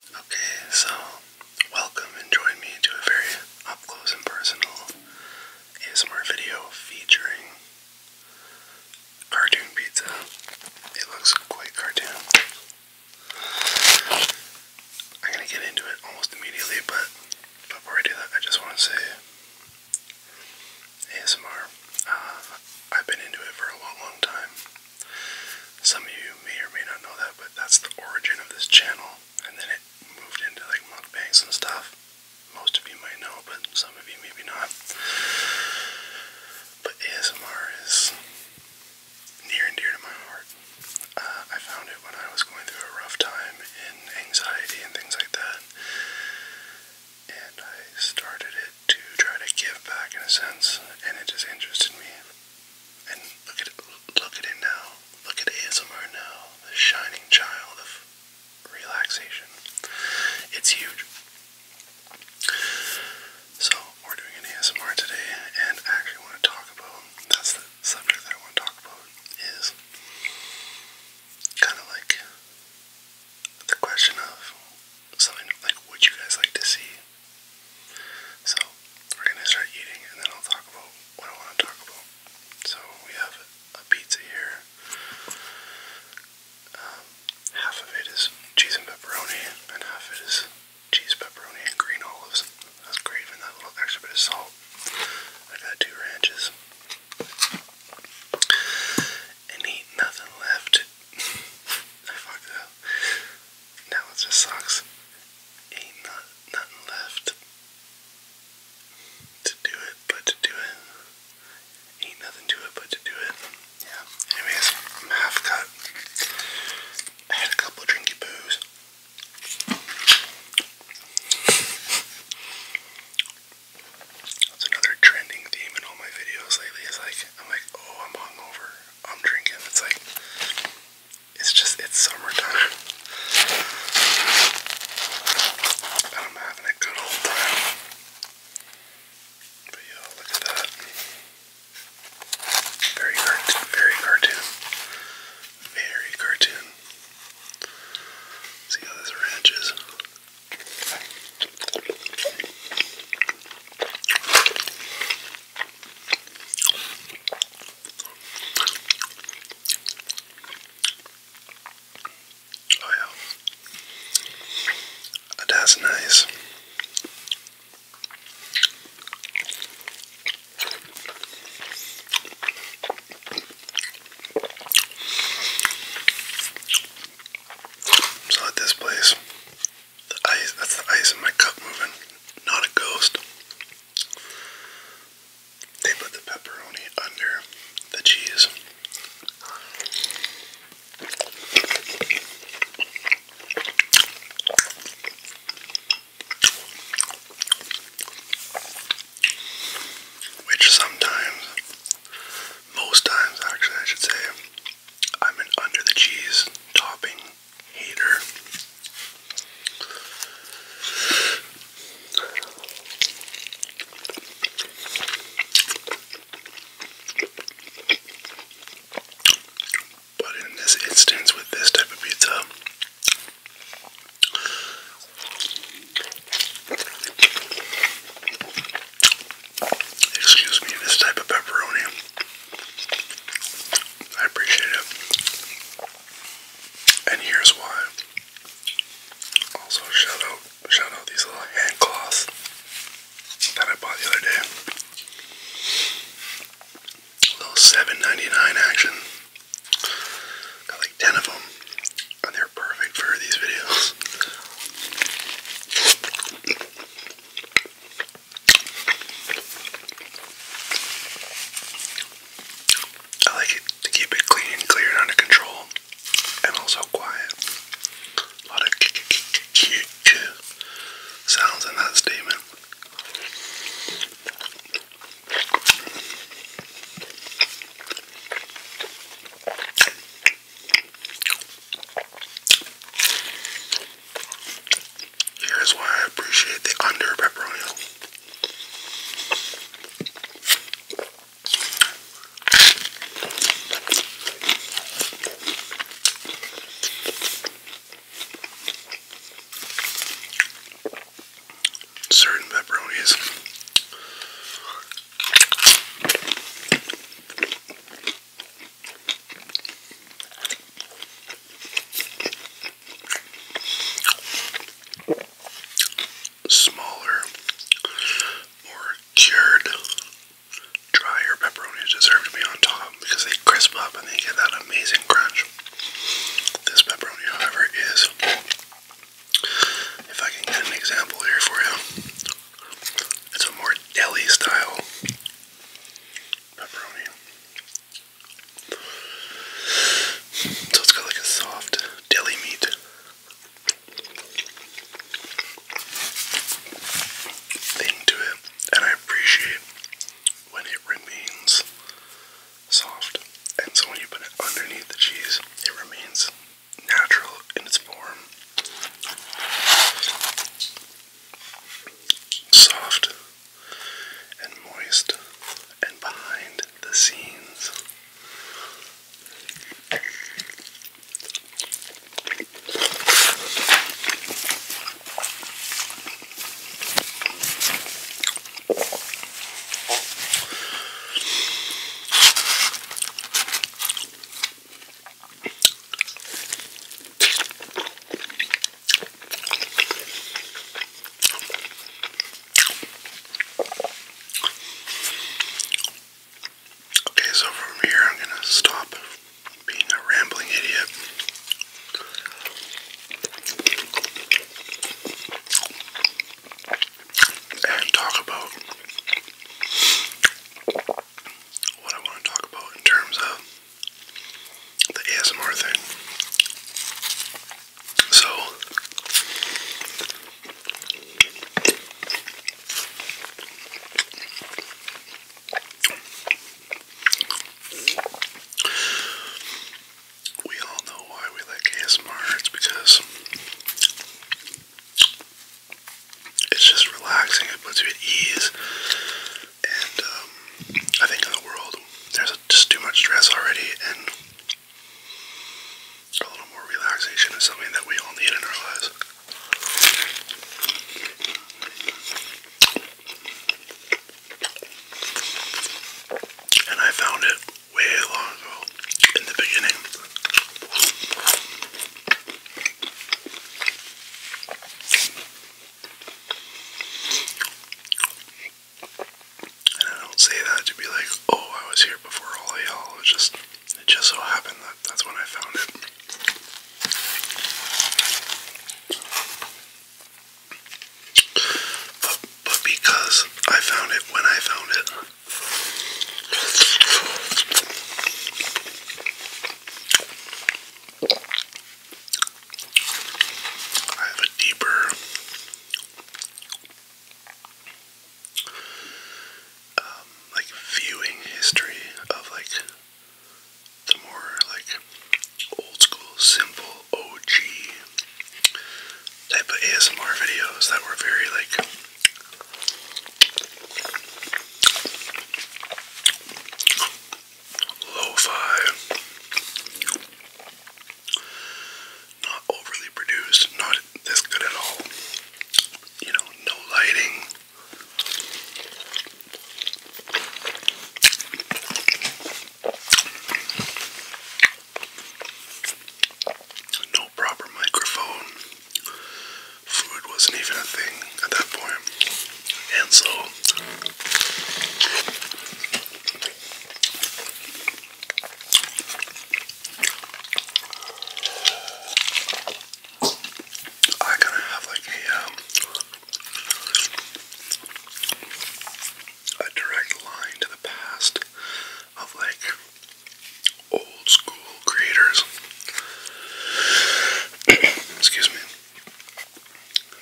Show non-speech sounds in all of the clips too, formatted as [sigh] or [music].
Okay, so welcome and join me to a very up close and personal ASMR video featuring cartoon pizza. It looks quite cartoon. I'm gonna get into it almost immediately, but before I do that, I just want to say ASMR. Uh, I've been into it for a long, long time. Some of you may or may not know that, but that's the origin of this channel. And then it moved into like mukbangs and stuff. Most of you might know, but some of you maybe not. But ASMR is near and dear to my heart. Uh, I found it when I was going through a rough time in anxiety and things like that. And I started it to try to give back in a sense, and it just interested me and look at look at it now. Look at ASMR now, the shining child of relaxation. It's huge. So we're doing an ASMR today, and I actually want to talk about that's the subject that I want to talk about is kind of like the question of something like would you guys like to see so we're gonna start eating and then I'll talk about what I want to talk about. So we have a pizza here. Um, half of it is cheese and pepperoni, and half of it is cheese, pepperoni, and green olives. That's great, even that little extra bit of salt. I got two ranches. And ain't nothing left. [laughs] I fucked up. Now it just sucks. Ain't not, nothing left to do it but to do it. Ain't nothing to it but to do it. Yeah. Anyways, I'm half cut. I had a couple drinky boos. That's another trending theme in all my videos lately. Is like I'm like, oh, I'm hungover. I'm drinking. It's like it's just it's summertime. And I'm having a good old time. But yeah, look at that. Very cartoon, very cartoon. Very cartoon. See how this ranch is? Oh yeah, that's nice. So at this place, the ice, that's the ice in my cup moving, not a ghost. They put the pepperoni under the cheese. Which sometimes, most times actually, I should say, I'm an under the cheese topping hater. But in this instance, with this type of pizza, excuse me, this type of pepperoni. I appreciate it. And here's why. Also shout out shout out these little hand cloths that I bought the other day. A little seven ninety nine action. Got like 10 of them. And they're perfect for these videos. I like it to keep it clean clear and under control, and also quiet. A lot of sounds in that statement. Here's why I appreciate the under pepperoni. Certain pepperonis Smaller, more cured, drier pepperonis deserve to be on top because they crisp up and they get that amazing crunch. This pepperoni, however, is, if I can get an example here for you, it's a more deli style pepperoni. So it's got like a soft deli meat. Thing to it, and I appreciate when it remains soft, and so when you put it underneath the cheese, it remains natural in its form. Soft and moist and behind the scenes. Okay, so from here I'm gonna stop being a rambling idiot and talk about what I want to talk about in terms of the ASMR thing. So, we all know why we like ASMR. It's because it's just relaxing. It puts you at ease. And um, I think in the world, there's just too much stress already, and a little more relaxation is something that we all need in our lives. And I found it way long ago in the beginning. And I don't say that to be like, oh, I was here before all y'all. It just, it just so happened that that's when I found it. But, because I found it when I found it, I have a deeper um, like viewing history of like the more like old school simple OG type of ASMR videos that were very like lo-fi, not overly produced, not this good at all. You know, no lighting. No proper microphone. Food wasn't even a thing at that And so I kind of have like a um, a direct line to the past of like old school creators. [clears throat] Excuse me.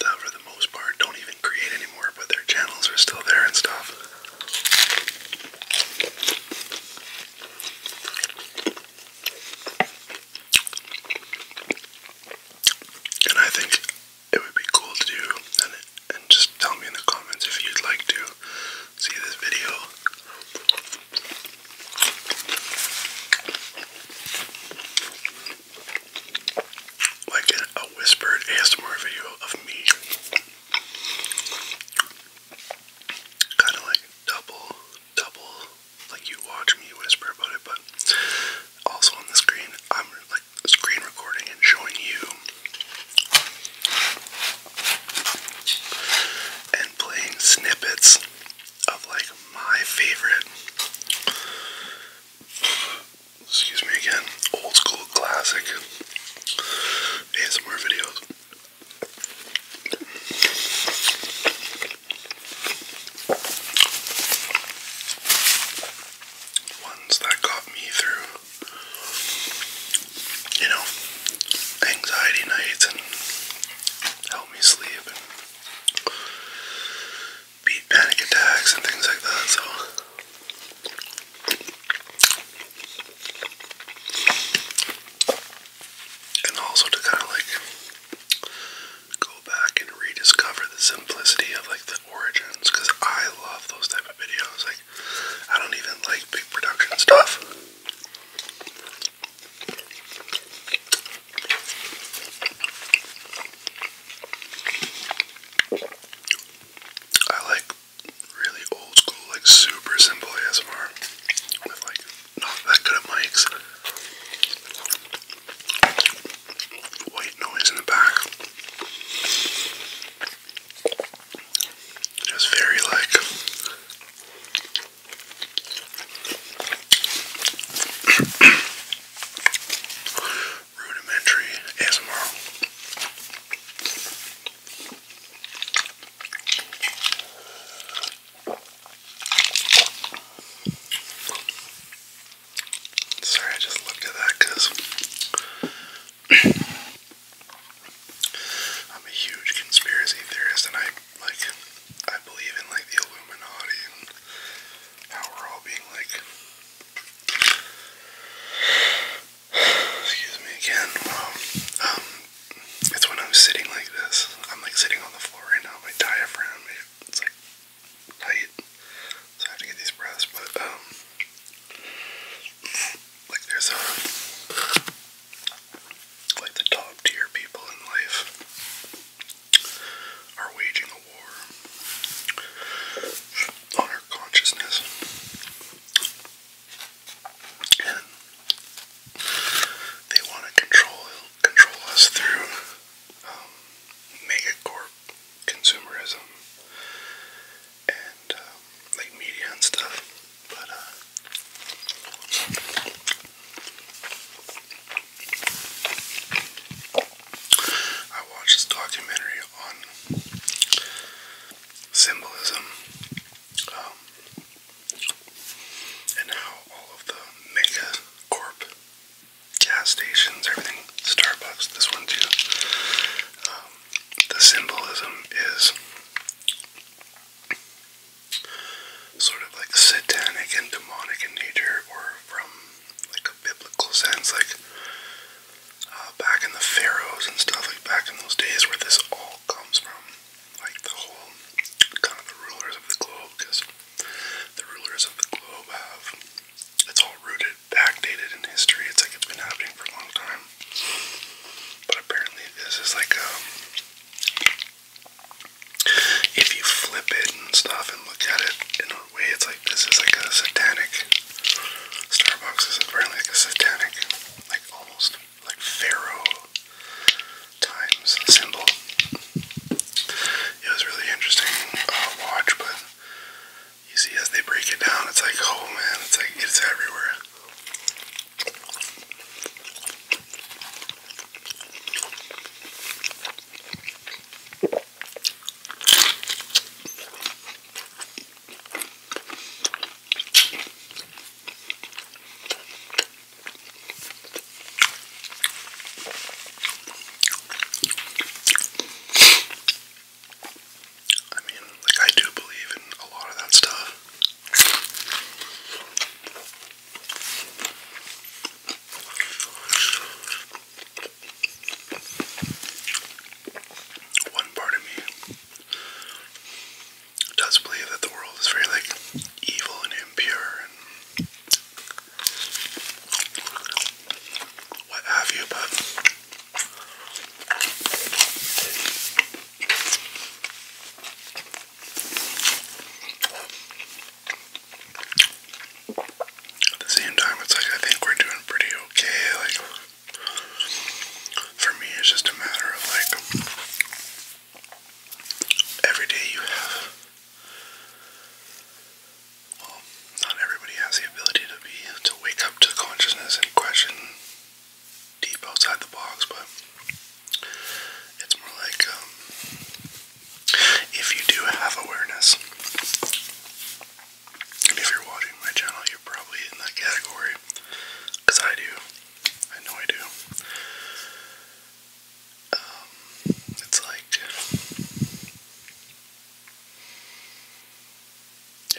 That for the most part don't even create anymore, but their channels are still there and stuff. And I think it would be cool to do and just tell me in the comments if you'd like to see this video. Like a whispered ASMR video of me. Kind of like double, double, like you watch me whisper about it, but also on the screen, I'm screen recording and showing you and playing snippets of like my favorite excuse me again old school classic and some more videos ones that got me through you know, anxiety nights and help me sleep and beat panic attacks and things like that. So and also to kind of like go back and rediscover the simplicity of like the origins because I love those type of videos. Like, I don't even like big production stuff. I like really old school, like super simple ASMR with like not that good at mics white noise in the back. Just very like [coughs] rudimentary ASMR. Sorry, I just looked at that because [clears throat] I'm a huge conspiracy theorist, and I like I believe in like the Illuminati and how we're all being like. Excuse me again. um, um it's when I'm sitting like this. I'm like sitting on the floor right now. My diaphragm, it's like tight, so I have to get these pressed, but, um, like, there's a, like, the top tier people in life are waging a war on our consciousness, and they want to control, control us through, um, mega consumerism and um, like media and stuff, but uh, I watched this documentary on symbolism um, and how all of the mega corp gas stations, everything. Starbucks, this one too. Um, the symbolism is sort of like satanic and demonic in nature, or from like a biblical sense, like uh, back in the pharaohs and stuff, like back in those days where this all comes from, like the whole kind of the rulers of the globe, because the rulers of the globe have it's all rooted backdated in history. It's like it's been happening for a long time. But apparently, this is like um, if you flip it and stuff and look at it in a way, it's like this is like a satanic. Starbucks is apparently like a satanic, like almost like pharaoh times symbol. It was really interesting uh, watch, but you see as they break it down, it's like, oh man, it's like it's everywhere. I mean, like, I do believe in a lot of that stuff. One part of me does believe that the world is very, like, evil and impure what have you, but at the same time, it's like I think we're doing pretty okay. Like, for me, it's just a matter of like every day you have well, not everybody has the ability to be to wake up to consciousness and question deep outside the box, but it's more like um, if you do have awareness, and if you're watching my channel, you're probably in that category I do. I know I do. Um, it's like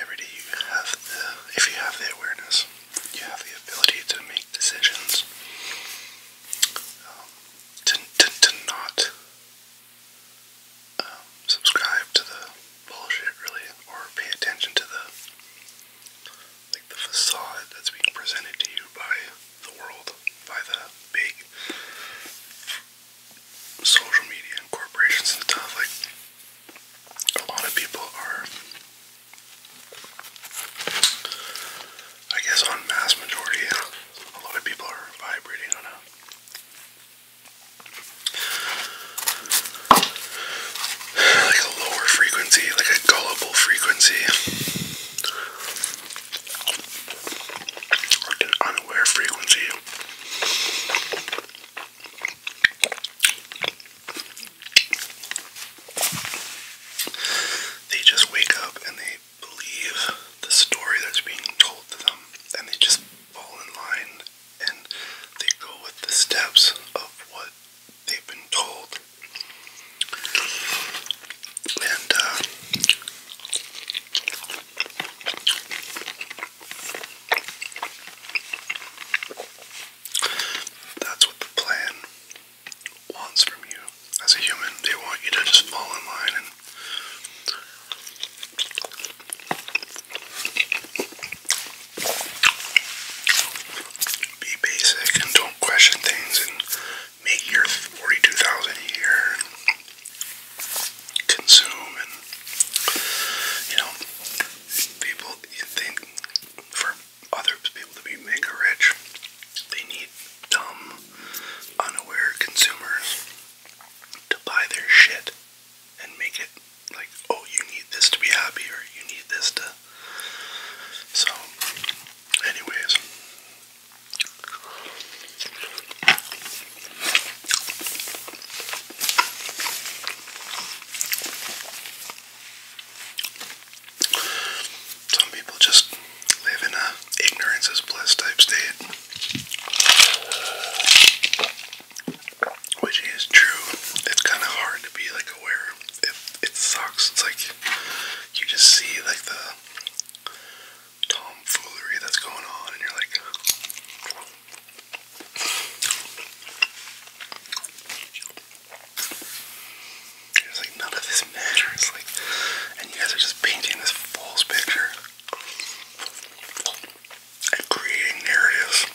every day you have the, if you have the awareness, you have the ability to make decisions. Um, to, to, to not um, subscribe to the bullshit, really, or pay attention to the like the facade that's being presented to you by the world by the big social media and corporations and stuff. Like, a lot of people are, I guess, on mass majority, a lot of people are vibrating on a like a lower frequency, like a gullible frequency unaware frequency. They just wake up and they believe the story that's being told to them, and they just fall in line and they go with the steps of what they've been told and uh, that's what the plan wants from you as a human. They want you to just fall in line and be basic and don't question things make your forty-two thousand a year consume, and you know, people you think for other people to be mega rich, they need dumb, unaware consumers to buy their shit and make it like, oh, you need this to be happy, or you need this to. So, anyways, some people just live in a ignorance is bliss type state, which is true. It's kind of hard to be like aware. It it sucks. It's like you just see like the tomfoolery that's going on, and you're like, it's like none of this matters. Like, and you guys are just painting this false picture and creating narratives.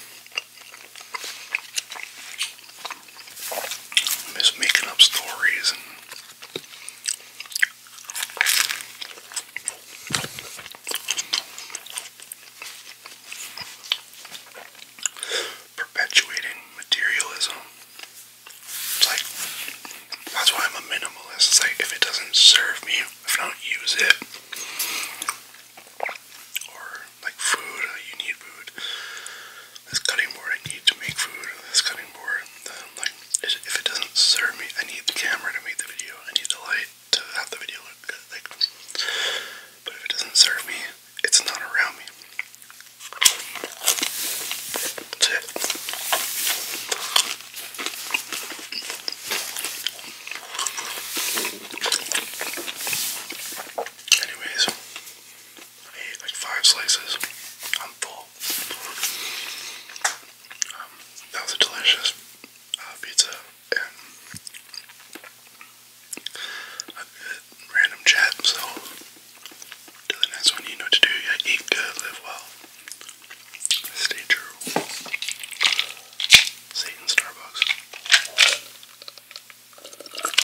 I'm just making up stories and perpetuating materialism. It's like that's why I'm a minimalist. It's like if it doesn't serve me, if I don't use it, or like food, you need food this cutting board I need to make food this cutting board. Um, like if it doesn't serve me, I need the camera to make the video. I need the light to have the video look good. Like, but if it doesn't serve me, it's not around me. That's it. Anyways, I ate like five slices. I'm full. Um, that was a delicious uh, pizza random chat. So, to the next one, you know what to do. eat good, live well, stay true. See Starbucks.